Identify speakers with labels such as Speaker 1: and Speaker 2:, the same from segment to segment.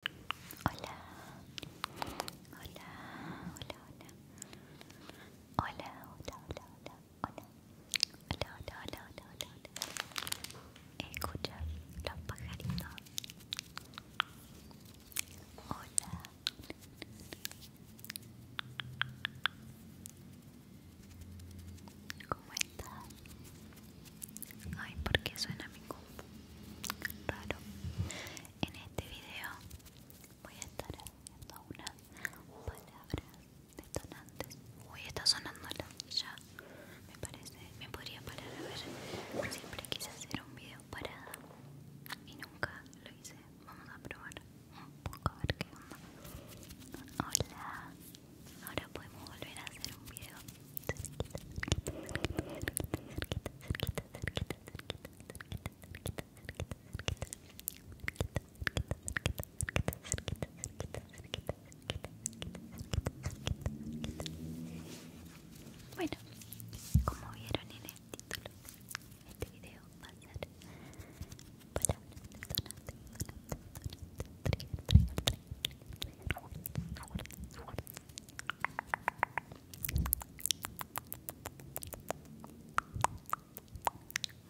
Speaker 1: Hola, hola, hola, hola. Hola, hola, hola, hola, hola. Hola, hola, los pajaritos. Hola. ¿Cómo estás? Ay, porque suena mi compu. Raro. En este video voy a estar haciendo unas palabras detonantes. Uy, está sonando la ya. Me parece, me podría parar a ver. Siempre quise hacer un video parada y nunca lo hice. Vamos a probar un poco a ver qué onda. Hola. Ahora podemos volver a hacer un video bueno, como vieron en el título, este video va a ser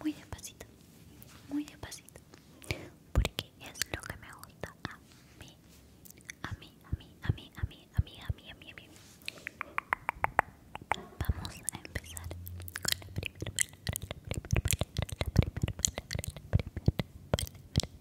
Speaker 2: muy despacito, muy despacito, porque es lo que me gusta a mí, a mí, a mí, a mí, a mí, a mí, a mí, a mí, a mí. Vamos a empezar con la primera la la primera palabra, la primera palabra, la primera palabra,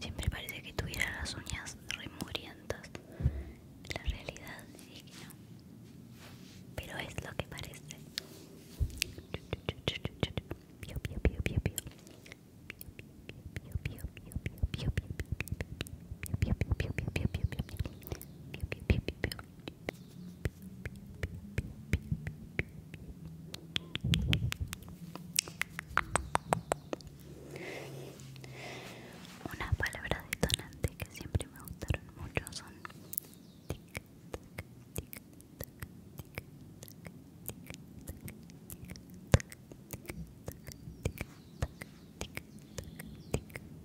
Speaker 2: Siempre parece que tuviera las uñas remurientas. La realidad es que no. Pero es lo que parece. Unas palabras detonantes que siempre me gustaron mucho son tic, tac, tic, tac, tic,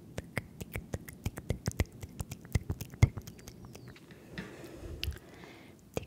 Speaker 2: tac, tic,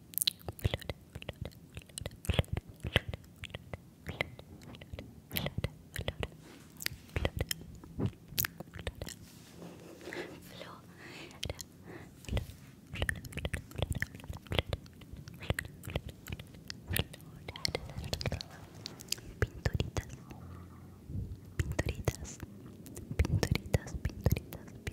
Speaker 2: pinturitas pinturitas pinturitas pinturitas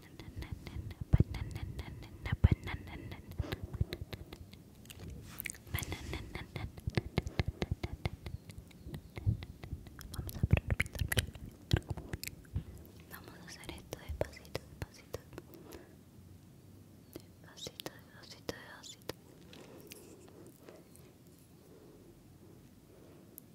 Speaker 2: Vamos a hacer esto despacito, despacito.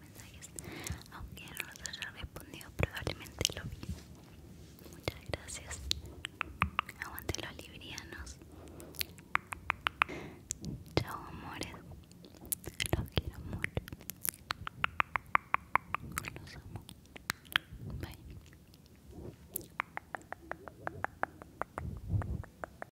Speaker 2: mensajes aunque no los haya respondido probablemente lo vi muchas gracias aguante los librianos chao amores los quiero mucho los amo bye